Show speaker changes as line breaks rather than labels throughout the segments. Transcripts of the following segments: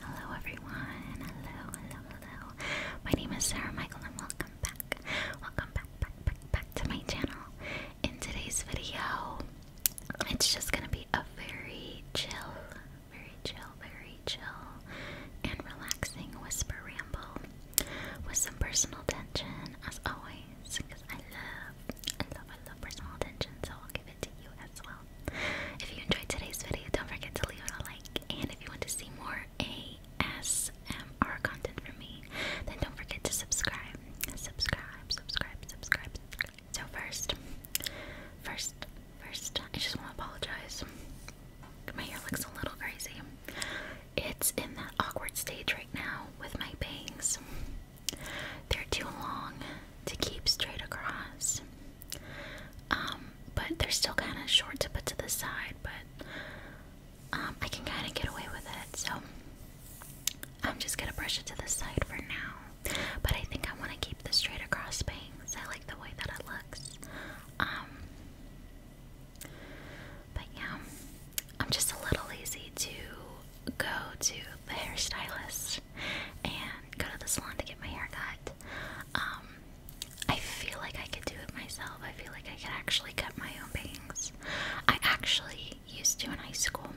Hello everyone, hello, hello, hello. My name is Sarah Michael and welcome back. Welcome back, back, back, back to my channel. In today's video, it's just gonna be a very chill, very chill, very chill, and relaxing whisper ramble with some personal tension as always, because I love, I love, I love personal attention, so I'll give it to you if you enjoyed today's video, don't forget to leave it a like. And if you want to see more ASMR content from me, then don't forget to subscribe. Subscribe, subscribe, subscribe, subscribe. So first, first, first, I just want to apologize. My hair looks a little crazy. It's in that awkward stage right now with my bangs. They're too long to keep straight across. Um, but they're still kind of short to put to the side, but um, I can kind of get away with it. So I'm just gonna brush it to the side for now. But I think I want to keep the straight across bangs. I like the way that it looks. Um, but yeah, I'm just a little lazy to go to the hairstylist and go to the salon to get my hair cut. Um, I feel like I could do it myself. I feel like I could actually cut my own bangs. I actually used to in high school.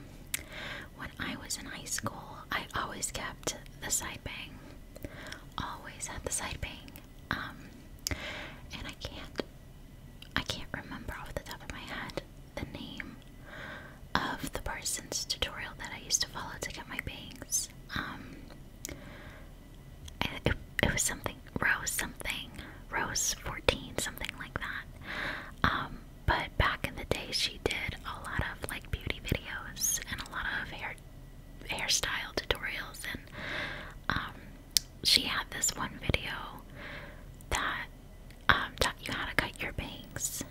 When I was in high school, I always kept the side bang. Always had the side bang. Um, and I can't, I can't remember off the top of my head the name of the person's tutorial that I used to follow to get my bangs um it, it was something rose something rose 14 something like that um, but back in the day she did a lot of like beauty videos and a lot of hair hairstyle tutorials and um she had this one video that um taught you how to cut your bangs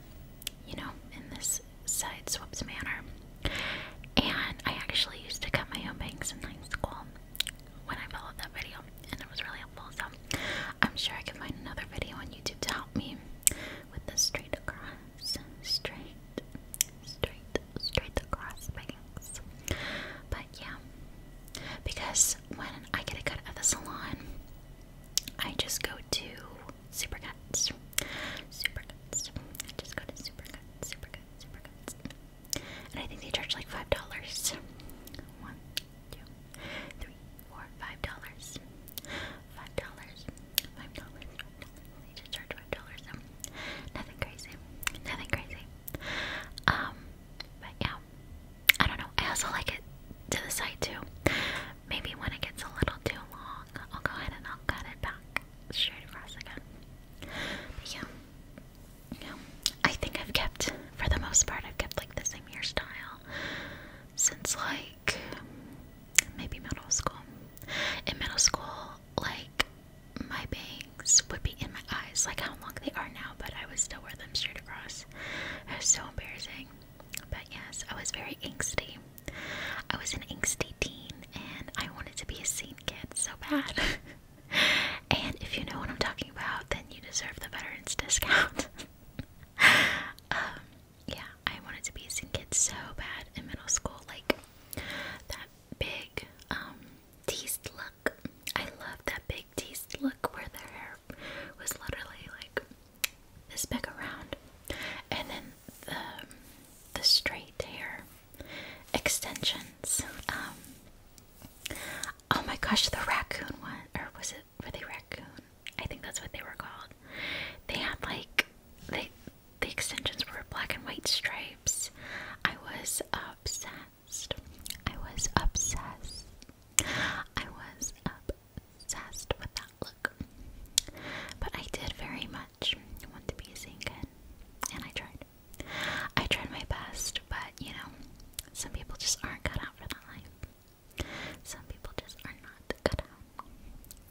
you know, in this side swept manner. And I actually used to cut my own bangs in high school when I followed that video, and it was really helpful. So I'm sure I can find another video on YouTube to help me with the straight across, straight, straight, straight across bangs. But yeah, because when I get a cut at the salon, I just go to super guts, super guts. I just got a super guts, super guts, super guts. And I think they charge like five dollars. One, two, three, four, five dollars. Five dollars. Five dollars. They just charge five dollars. Um, nothing crazy. Nothing crazy. Um, but yeah, I don't know. I also like it to the side too. Maybe when it gets a little too long, I'll go ahead and I'll cut it back straight across again. But yeah, yeah, I think I've kept, for the most part, I've kept like the same hairstyle since like maybe middle school. In middle school, like my bangs would be in my eyes, like how long they are now, but I would still wear them straight across. It was so embarrassing. But yes, I was very angsty. I was an angsty and I wanted to be a Saint kid so bad. and if you know what I'm talking about, then you deserve the veterans discount. Um, yeah, I wanted to be a Saint kid so bad in middle school, like that big um, teased look. I love that big teased look where their hair was literally like this big around, and then the, the straight hair extensions. Um, oh my gosh, the raccoon one, or was it were they raccoon? I think that's what they were called. They had like they the extensions were black and white stripes. I was obsessed. I was obsessed. I was obsessed with that look. But I did very much want to be a singer, and I tried. I tried my best, but you know, some people just aren't cut out for that life. Some people just are not cut out.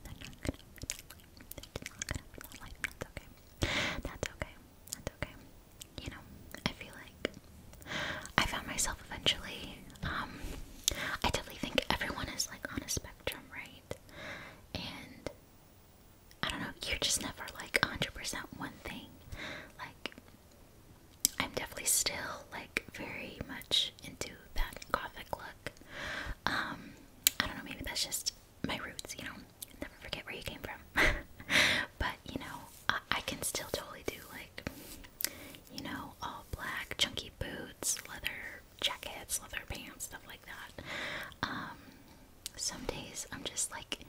They're not cut out for that life. That's okay. That's okay. That's okay. You know, I feel like I found myself eventually. Um, I definitely think everyone is like on a spectrum, right? And I don't know, you're just never like 100% one thing. Like, I'm definitely still like very much into that gothic look. Um, I don't know, maybe that's just my roots, you know, never forget where you came from. but, you know, I can still totally do like, you know, all black, chunky boots, leather jackets, leather pants, stuff like that. Um, some days I'm just like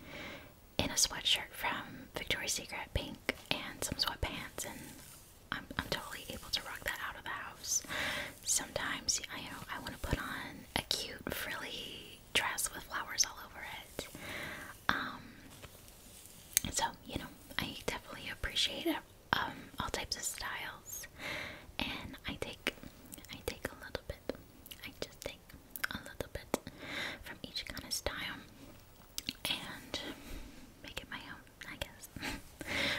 in a sweatshirt from Victoria's Secret, pink, and some sweatpants, and I'm, I'm totally able to rock that out of the house. Sometimes, I you know, I want to put on a cute frilly dress with flowers all over it. Um, so, you know, I definitely appreciate um, all types of styles, and I take I take a little bit. I just take a little bit from each kind of style and make it my own, I guess.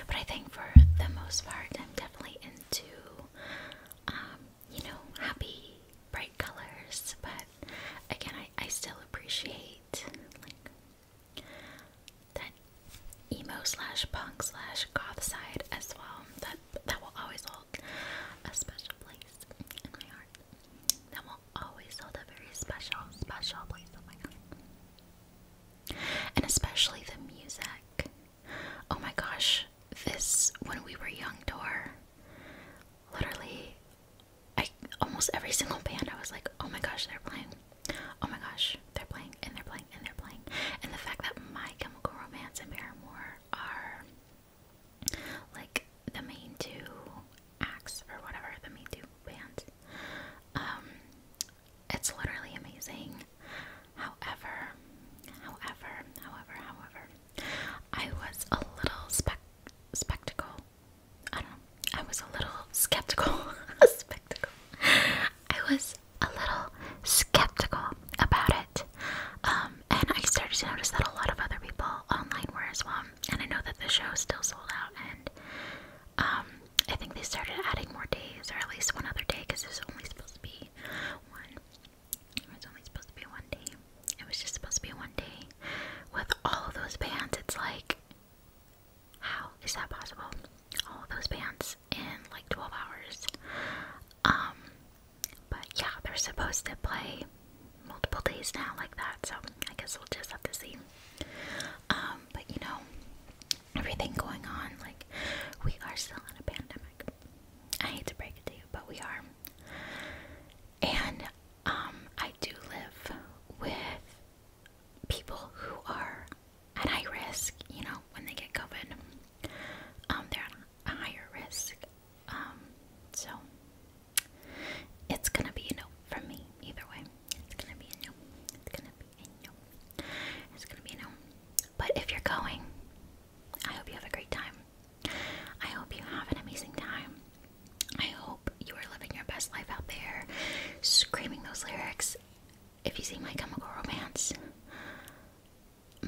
but I think for the most part, I'm definitely into, um, you know, happy, bright colors. But again, I, I still appreciate like that emo slash punk slash goth side as well. That that will always hold a special place in my heart. That will always hold a very special, special place in my heart. And especially the music. Oh my gosh, this when we were young door. Literally I almost every single band I was like, oh my gosh, they're playing. Oh my gosh, they're playing and they're playing and they're playing. And the fact that My Chemical Romance and Paramore are like the main two acts or whatever, the main two bands. Um, it's literally amazing. However, however, however, however, I was a little spec spectacle. I don't know. I was a little skeptical. spectacle. I was a little skeptical about it. Um, and I started to notice that a lot of other people online were as well. And I know that the show still sold out, and um, I think they started adding more days, or at least one other day, because it was only supposed to be one. It was only supposed to be one day. It was just supposed to be one day with all of those bands. It's like, how is that possible? All of those bands in like 12 hours. Um, but yeah, they're supposed to play multiple days now, like that, so I guess we'll just have to see. Um, but you know, everything going on, like, we are still in a pandemic. I hate to break it to you, but we are. And, um, I do live with people who are at high risk, you know, when they get COVID. Um, they're at a higher risk. Um, so it's gonna be a no for me either way. It's gonna be a no. It's gonna be a no. It's gonna be a no. But if you're going, I hope you have a great time. I hope you have an amazing time. I hope you are living your best life out there, screaming those lyrics. If you see my chemical romance,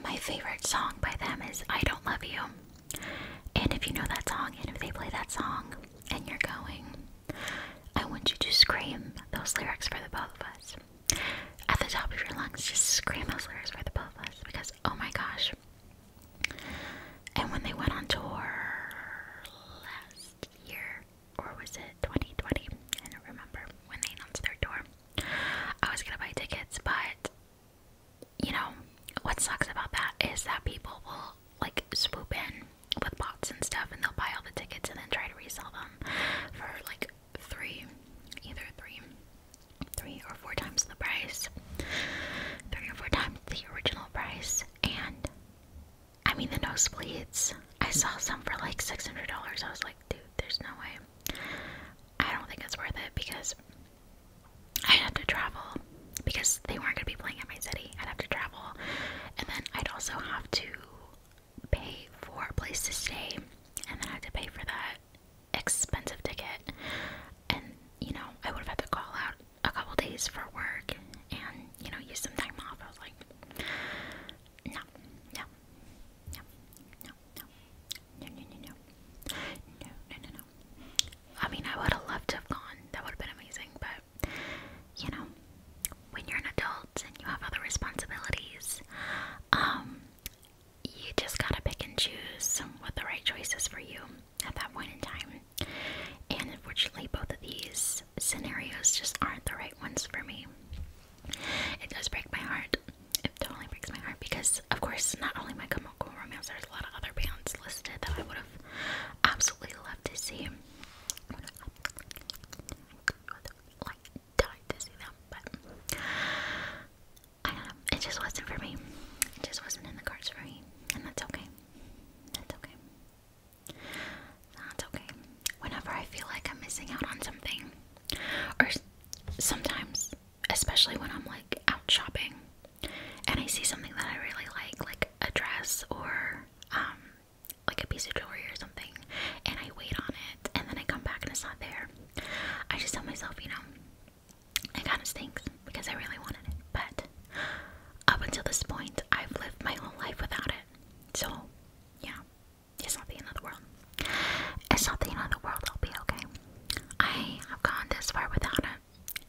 my favorite song by them is I Don't Love You. And if you know that song, and if they play that song, and you're going, I want you to scream those lyrics for the both of us. At the top of your lungs, just scream those lyrics for the both of us because, oh my gosh. And when they went on tour last year, or was it 2020? I don't remember when they announced their tour. I was gonna buy tickets, but you know what sucks about that is that people will like swoop in with bots and stuff, and they'll buy all the tickets and then try to resell them for like three, either three, three or four times the price, three or four times the original price, and I mean the nosebleeds. I saw some for like six hundred dollars. I was like, dude, there's no way. I don't think it's worth it because I'd have to travel because they weren't going to be playing at my city. I'd have to travel, and then I'd also have to pay for a place to stay, and then I would have to pay for that expensive ticket. And you know, I would have had to call out a couple days for work and you know, use some time off. I was like, no, no, no, no, no, no, no, no, no, no, no, no, no. I mean, I would have loved to have gone. That would have been amazing, but you know, when you're an adult and you have other responsibilities, um, you just gotta pick and choose what the right choice is for you at that point in time. And unfortunately, both of these scenarios just aren't the right ones for me. It does break my heart. It totally breaks my heart because, of course, not only my Chemical Romance, there's a lot of other bands listed that I would have absolutely loved to see. I like, died to see them, but I don't um, know. It just wasn't for me. It just wasn't in the cards for me, and that's okay. That's okay. That's okay. Whenever I feel like I'm missing out on something, or sometimes, especially when I'm like out shopping and I see something that I really like, like a dress or um, like a piece of jewelry or something, and I wait on it and then I come back and it's not there. I just tell myself, you know, it kind of stinks because I really wanted it, but up until this point, I've lived my whole life without it. So, yeah, it's not the end of the world. It's not the end of the world. I'll be okay. I have gone this far without it,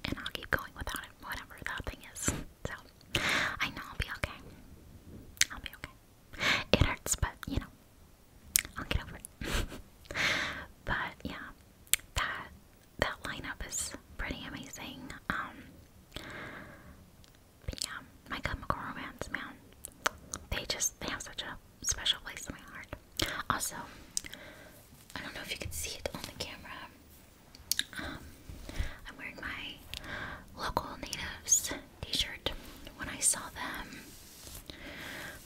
and I'll keep going without it, whatever that thing is. So I know I'll be okay. I'll be okay. It hurts, but you know, I'll get over it. but yeah, that that lineup is pretty amazing. Um, but yeah, My Chemical Romance, man, they just they have such a special place in my heart. Also, I don't know if you can see it on the camera. Um, I'm wearing my local natives t-shirt. When I saw them,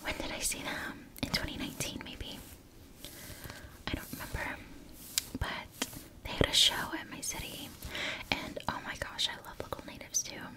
when did I see them? In 2019, maybe. I don't remember, but they had a show at my city, and oh my gosh, I love local natives too.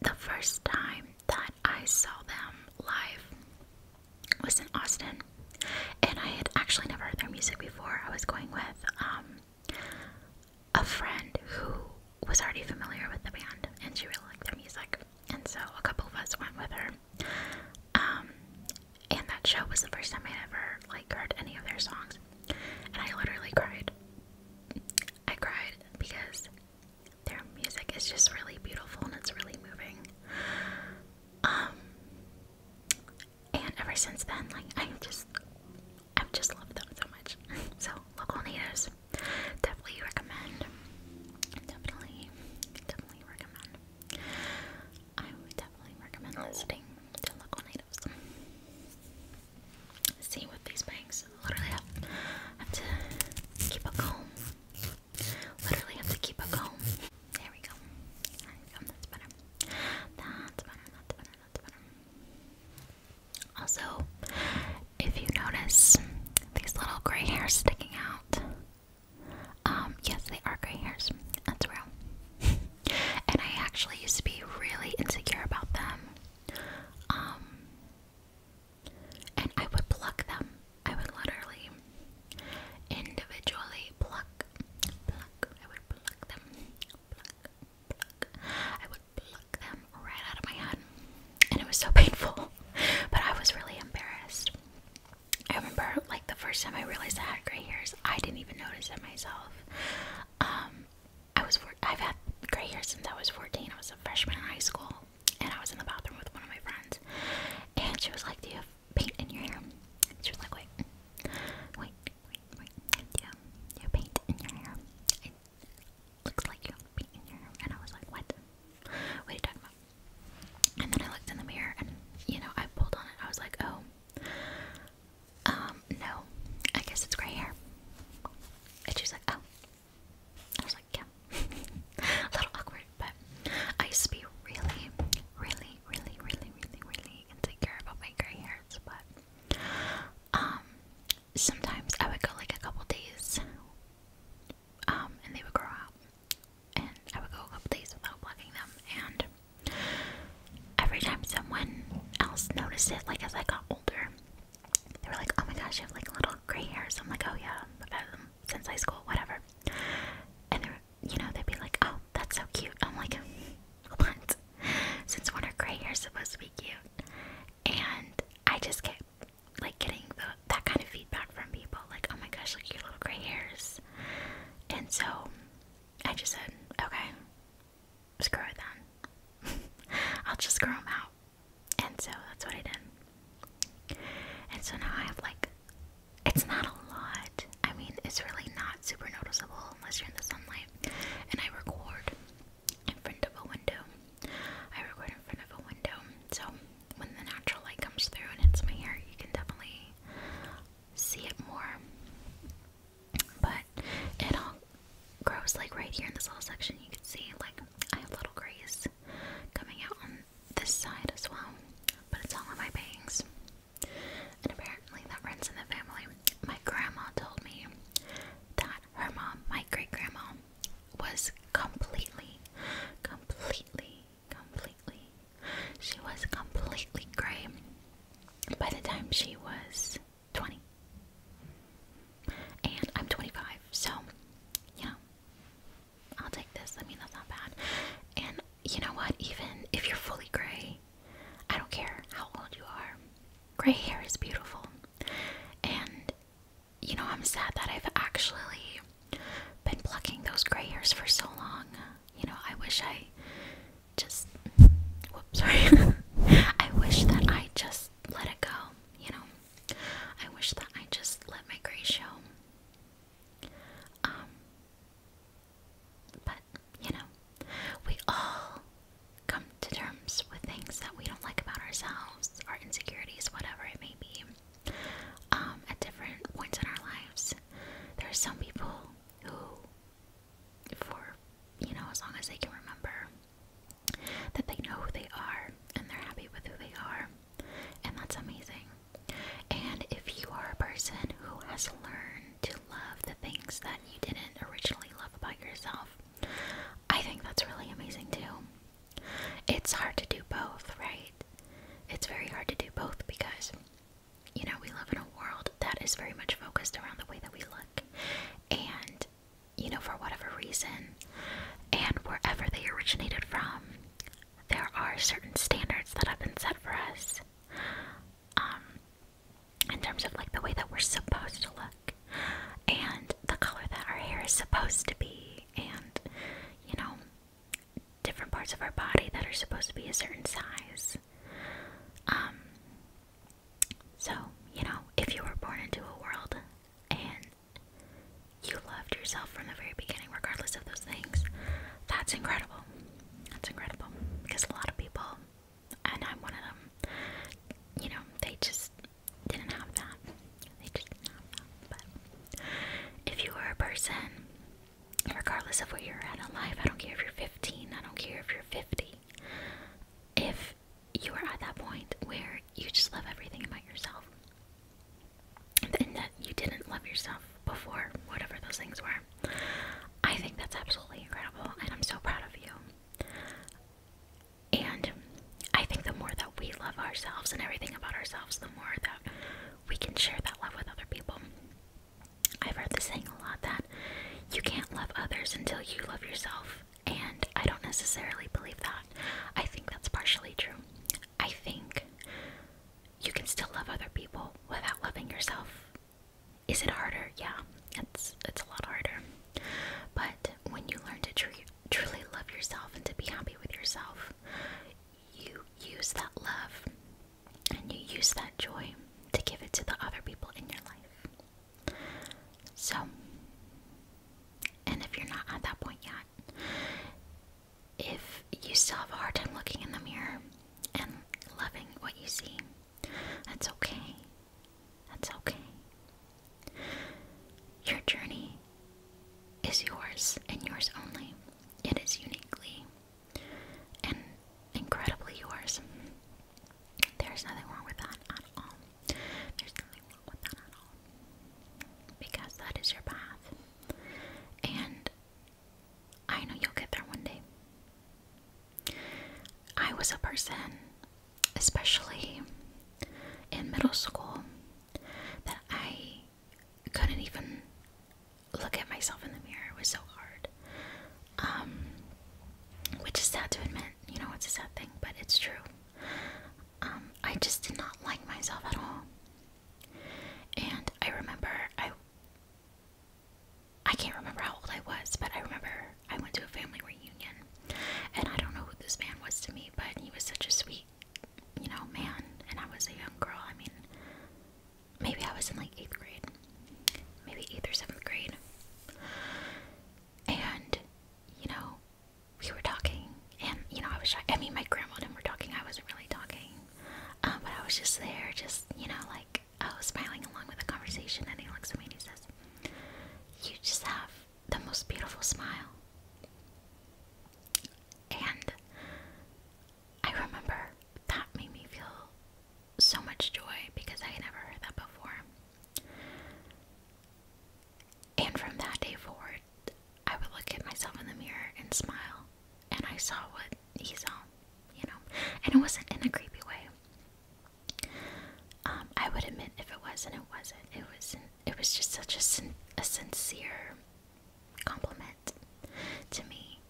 The first time that I saw them live was in Austin, and I had actually never heard their music before. I was going with um, a friend who was already familiar with the band, and she really liked their music, and so a couple of us went with her. Um, and that show was the first time I ever like heard any of their songs, and I literally cried. I cried because their music is just really beautiful and it's really moving. Um, and ever since then, like I just I've just loved them so much. So local natives definitely recommend. Definitely, definitely recommend. I would definitely recommend listening oh. to local natives. See what these banks literally I have, to keep a comb. Literally have to keep a comb. There we go. That's better. That's better. That's better. That's better. Also, if you notice these little gray hairs sticking out, um, yes, they are gray hairs. That's real. and I actually used to be really insecure about them. Um, and I would pluck them. I would literally individually pluck, pluck. I would pluck them, pluck, pluck. I would pluck them right out of my head, and it was so painful. but I was really embarrassed. I remember, like the first time I realized I had gray hairs, I didn't even notice it myself. Um, I was I've had gray hairs since I was fourteen. I was a freshman in high school and I was in the bathroom with one of my friends, and she was like, "Do you have paint in your hair?" And she was like, "Wait, wait, wait, wait, do you have paint in your hair? It looks like you have paint in your hair." And I was like, "What? What are you talking about?" And then I looked in the mirror, and you know, I pulled on it. I was like, "Oh, um, no, I guess it's gray hair." And she's like, "Oh." I was like, yeah, a little awkward, but I used to be really, really, really, really, really, really insecure about my gray hairs, but um, sometimes I would go like a couple days, um, and they would grow out, and I would go a couple days without plucking them, and every time someone else noticed it, like as I got older, they were like, oh my gosh, you have like little gray hairs. I'm like, oh yeah, I've had them since high school, whatever. And they're, you know, they'd be like, oh, that's so cute. I'm like, what? Since when are gray hairs supposed to be cute? And I just kept like getting that kind of feedback from people, like, oh my gosh, look your little gray hairs. And so I just said, okay, screw it I'll just grow them out. And so that's what I did. And so now I have like, it's not a lot. I mean, it's really not super noticeable unless you're in the sunlight. And I record in front of a window. I record in front of a window. So when the natural light comes through and hits my hair, you can definitely see it more. But it all grows like right here in this little section. You can see, like, I have little grease coming out on this side as well, but it's all on my bangs. And apparently, that runs in the family. My grandma told me that her mom, my great grandma, was completely, completely, completely, she was completely gray by the time she was 20. And I'm 25, so yeah. I'll take this. I mean, that's not bad. And you know what? Even if you're fully gray, I don't care how old you are. Gray hair is beautiful. And you know, I'm sad that I've actually been plucking those gray hairs for so long. You know, I wish I just whoops, sorry. I wish that I just let it go, you know. I wish that I just let my gray show. Um, but, you know, we all come to terms with things that we don't like about ourselves, our insecurities, whatever it may be, um, at different points in our lives. There are some people who, for, you know, as long as they can remember, that they know who they are and they're happy with who they are and that's amazing. And if you are a person who has learned to love the things that you didn't originally love about yourself, I think that's really amazing too. It's hard to do both, right? It's very hard to do both because, you know, we live in a world that is very much focused around the way that we look. And, you know, for whatever reason, and wherever they originated from, there are certain standards that have been set for us um, in terms of like the way that we're supposed to look and the color that our hair is supposed to be, and you know, different parts of our body that are supposed to be a certain size. Um, so, you know, if you were born into a world and you loved yourself from the very beginning, regardless of those things. That's incredible. That's incredible. Because a lot of people, and I'm one of them, you know, they just didn't have that. They just didn't have that. But if you are a person, regardless of where you're at in life, I don't care if you're 15, I don't care if you're 50, if you are at that point where you just love everything about yourself, and that you didn't love yourself before, whatever those things were. I think that's absolutely incredible, and I'm so proud of you. And I think the more that we love ourselves and everything about ourselves, the more that we can share that love with other people. I've heard this saying a lot that you can't love others until you love yourself, and I don't necessarily believe that. I think that's partially true. I think you can still love other people without loving yourself. Is it harder? Yeah, it's it's a lot harder. But when you learn to truly love yourself and to be happy with yourself, you use that love and you use that joy to give it to the other people in your life. So, and if you're not at that point yet, if you still have a hard time looking in the mirror and loving what you see, that's okay. That's okay. Your journey is yours and yours only. It is uniquely and incredibly yours. There's nothing wrong with that at all. There's nothing wrong with that at all. Because that is your path. And I know you'll get there one day. I was a person, especially in middle school, that I couldn't even look at myself in the mirror. It was so hard. Um, which is sad to admit, you know, it's a sad thing, but it's true. Um, I just did not like myself at all. And I remember I I can't remember how old I was, but I remember I went to a family reunion and I don't know who this man was to me, but he was such a sweet, you know, man and I was a young girl. I mean maybe I was in like eighth grade. Maybe eighth or seventh grade. And, you know, we were talking, and you know, I was, I mean, my grandma and were talking, I wasn't really talking, um, but I was just there, just, you know, like, I was smiling along with the conversation, and he looks at me and he says, You just have the most beautiful smile. And I remember that made me feel so much joy because I had never heard that before. And from that day forward, I would look at myself in the mirror and smile, and I saw what he saw, you know. And it wasn't in a creepy way. Um, I would admit if it was, and it wasn't. It was. It was just such a sincere compliment to me.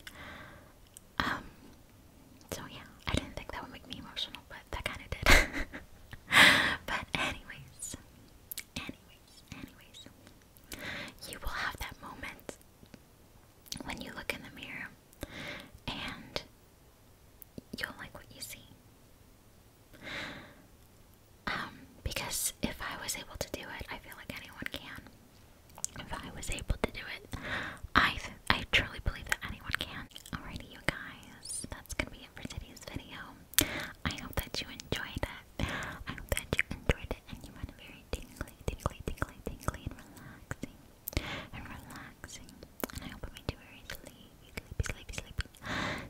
Um, so yeah, I didn't think that would make me emotional, but that kind of did. but anyways, anyways, anyways. You will have that moment when you look in the mirror and you'll like what you see. Um, because if I was able to do it, I feel like anyone can. If I was able to do it, I I truly believe that anyone can. Alrighty, you guys, that's gonna be it for today's video. I hope that you enjoyed I hope that you enjoyed it and you found very tingly, tingly, tingly, tingly, and relaxing. And relaxing. And I hope it made you very sleepy, sleepy, sleepy, sleepy.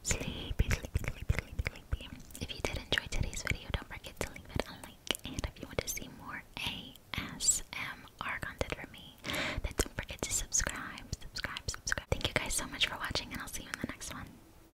Sleepy, sleepy, sleepy, sleepy, sleepy. If you did enjoy today's video, don't forget to leave it a like. And if you want to see more ASMR content from me, then don't forget to subscribe, subscribe, subscribe. Thank you guys so much for watching, and I'll see you in the next one.